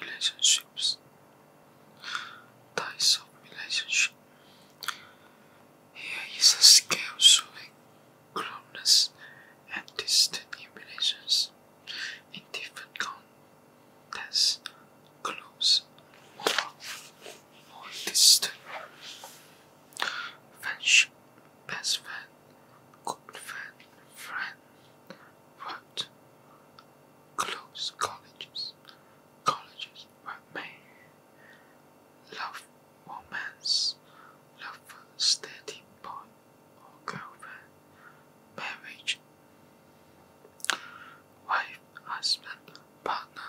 relationships types of relationship here is a scale showing closeness and distance in relations in different contexts close more, more distant friendship best friend Good friend, friend, what? Close colleges, colleges were made. Love, romance, love steady boy or girlfriend, marriage, wife, husband, partner.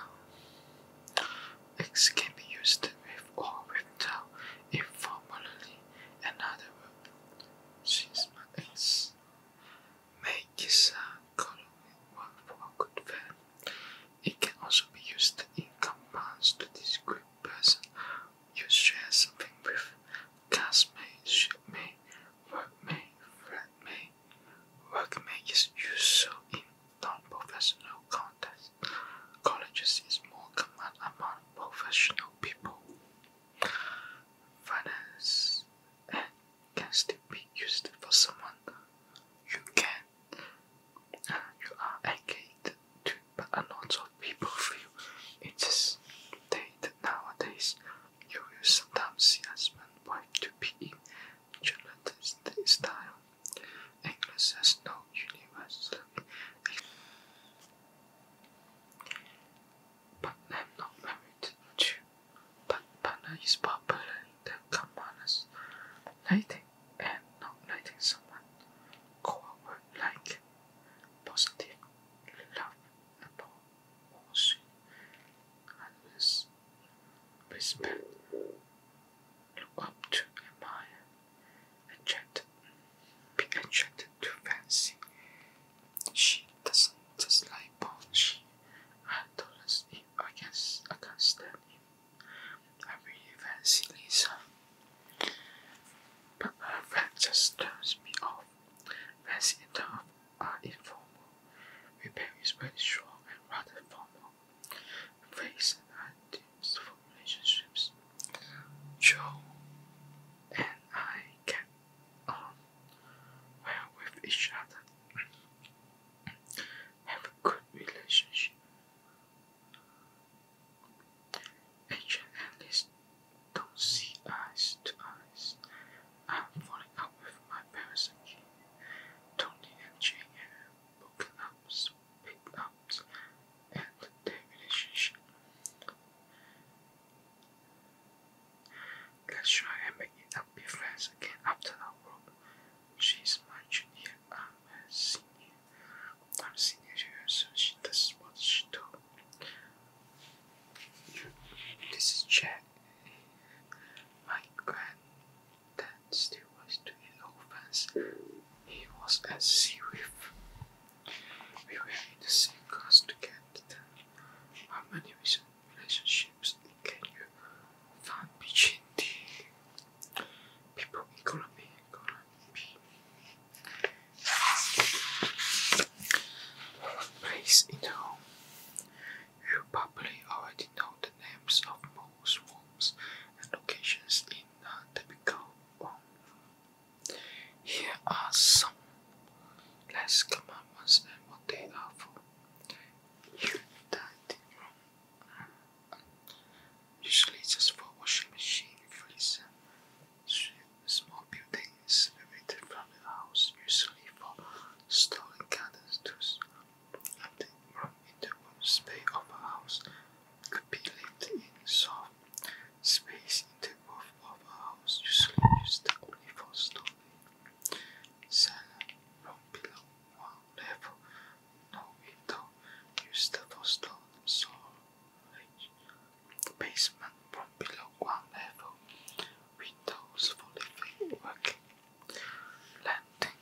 X can be used with or without informally another word. She's my ex. Make is a uh, colorway word for a good friend. It can also be used in compounds to describe person you share something with. Classmate, shipmate, workmate, flatmate. Workmate is used so in non-professional contest, colleges is more common among professional people. Finance can still be used for someone you can you are engaged but a lot of people feel it is dated nowadays. You will sometimes see husband wife to be in journalistic style. English has no universal But am not married to But partner is popular in the commoners. Lighting and not lighting someone. Core word like positive, lovable, awesome, and respect up to admire, attracted, be attracted to fancy. She doesn't dislike Paul. She I do not I can't stand him. I really fancy Lisa. But her friend just turns me off. Fancy and tough are informal. Repair is very short and rather formal. Face and items for relationships. Joe and I get on well with each other. Have a good relationship. Agent and Liz don't see eyes to eyes I'm falling out with my parents again. Tony and Jane have broken up, split up, and their relationship. Let's try and make it up, be friends again after our work. She's my junior, I'm a senior. I'm a senior to her, so she does what she told. This is Chad. My granddad still was doing offense. He was at sea with. We were in the same class together. How many relationships can you find between the people you probably already know the names of most rooms and locations in a typical room. Here are some less common ones and what they are for. You dining room, usually just for washing machine, freezer, small building, is evicted from the house, usually for stolen candles to something wrong in the room space of a house. Could be lived in soft space in the roof of a house, usually used only for storage. Cellar from below one level, no window, used for storage. Storage basement from below one level, windows for living, working, landing.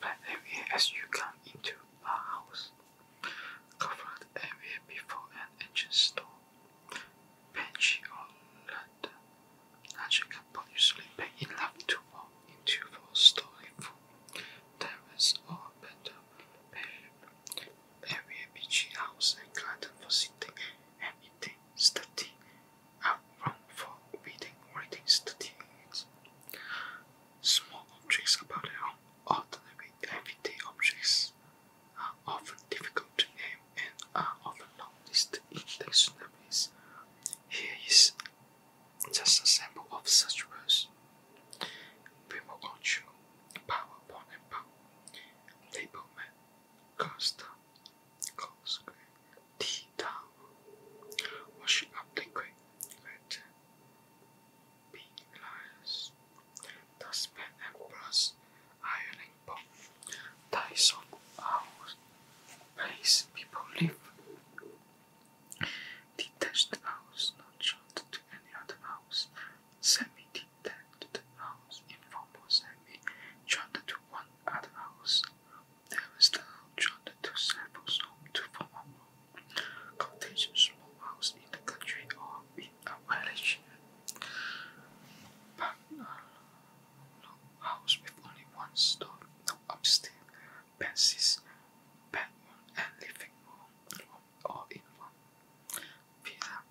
Flat area as you come into a house. Covered area before an entrance door. Bench or ladder. Larger couple usually big enough to walk into four-story full terrace or better bedroom very beachy house and garden for sitting and eating, study, and room for reading, reading, studying. Small objects about their own ordinary objects are often difficult to name and are often not listed in dictionaries. Here is just a sample of such words. Remote control, power point and power, label map, cursor, close T down, wash up liquid, red, pink lines, dustpan and brush, ironing board, ties of hours, place people live. Detached house, not joined to any other house semi-detached house in Formosa may joined to one other house. There is the joined to several homes to form a more cottage small house in the country or in a village. But a uh, long house with only one story, no upstairs, pences, bedroom, and living room, or all in one. Villa,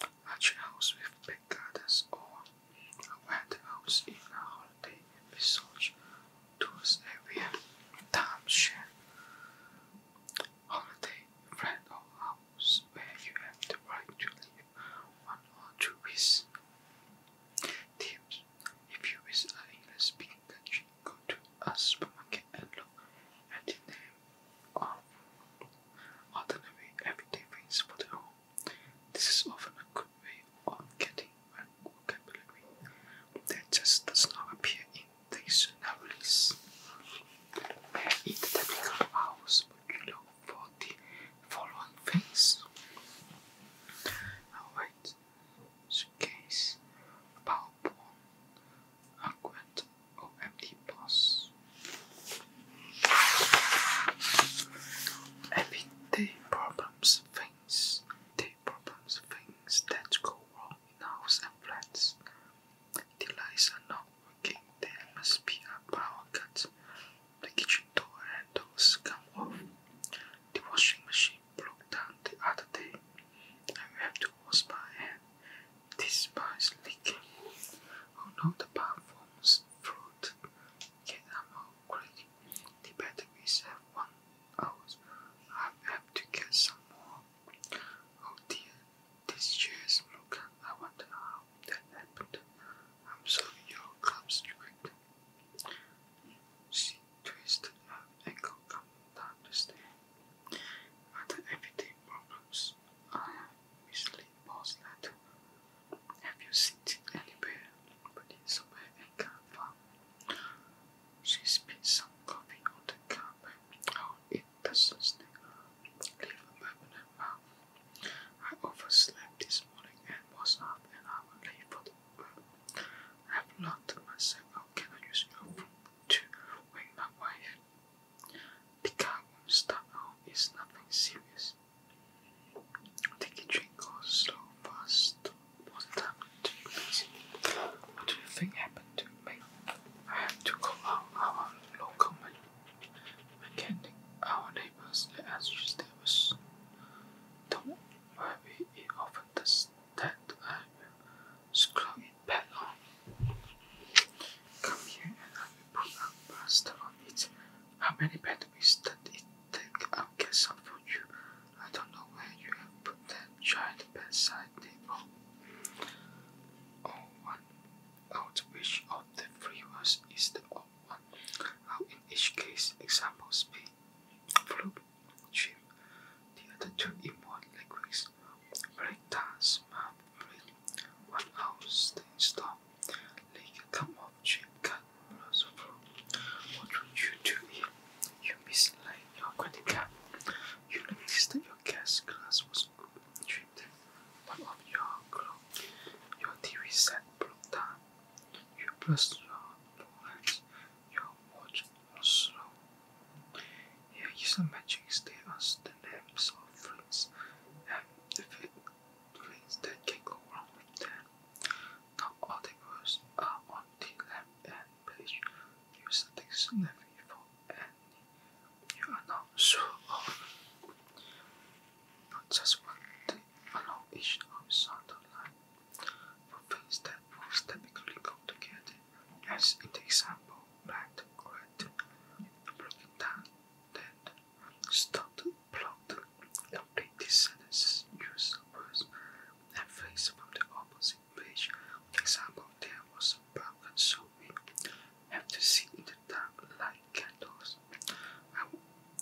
a tree house with big gardens, or a wet house in a holiday resort, tours area, timeshare, holiday, friend house where you have the right to live one or two weeks. Tips: If you visit an English-speaking country, go to a supermarket and look at the name of ordinary everyday things for the home. This is often a good way of getting vocabulary that just does not appear in dictionaries. In the typical house, would for the following things? suitcase, a power pawn, or empty boss. Everyday problems things day problems things that go wrong in houses and flats. The lights are not working, there must be a power cut. The kitchen door handles come off. The washing machine broke down the other day, and have to wash by hand. This bar is leaking. Oh no, the bar fruit. Get them out quick. The battery is one out. I have to get some more. Oh dear, this chair is I wonder how that happened. I'm sorry your club's quick twist up and go come down the problems I mislead Paul's letter. Have you seen anywhere? But it's somewhere She spilled some coffee on the carpet. Oh, it doesn't stay. Leave a permanent mouth. I overslept this morning and was up an hour late for I've locked myself out. Can I use your room to wake my head? The car won't start out. It's nothing serious. Take a drink or fast. What time What do you think happened to me? I have to call our local mechanic. Our neighbor animals as vegetables. Don't worry, it often does that. I will screw it back on. Come here and I will put a plaster on it. How many batteries did it take? I'll get some for you. I don't know where you have put that giant bedside table. Oh, one out which of the free ones is the how in each case examples be flute, trim, the other two in one language, break dance, map, break, one house, then stop, lay a cup of trim, cut, blows fruit. What would you do here? you mislaid your credit card? You noticed that your gas glass was good, trimmed, one of your clothes, your TV set broke down. You press the bullets, your watch was slow. Here is a magic state as the names of friends and the things that can go wrong with them. Not all the words are on the left end page. Use a dictionary for any you are not sure of not just one; they allow each episode to line, for things that most typically go together, as in the example, black, red, broken down, then stop to complete these sentences, use words and phrases from the opposite page. For example, there was a broken consuming have to sit in the dark like candles. I,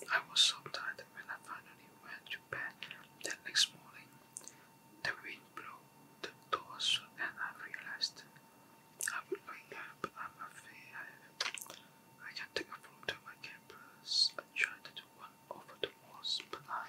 I was so tired that when I finally went to bed the next morning, the wind blew the doors shut and I realized I would wake up but I'm afraid I, can't take a photo to my campus. I tried to do one over the walls, but I.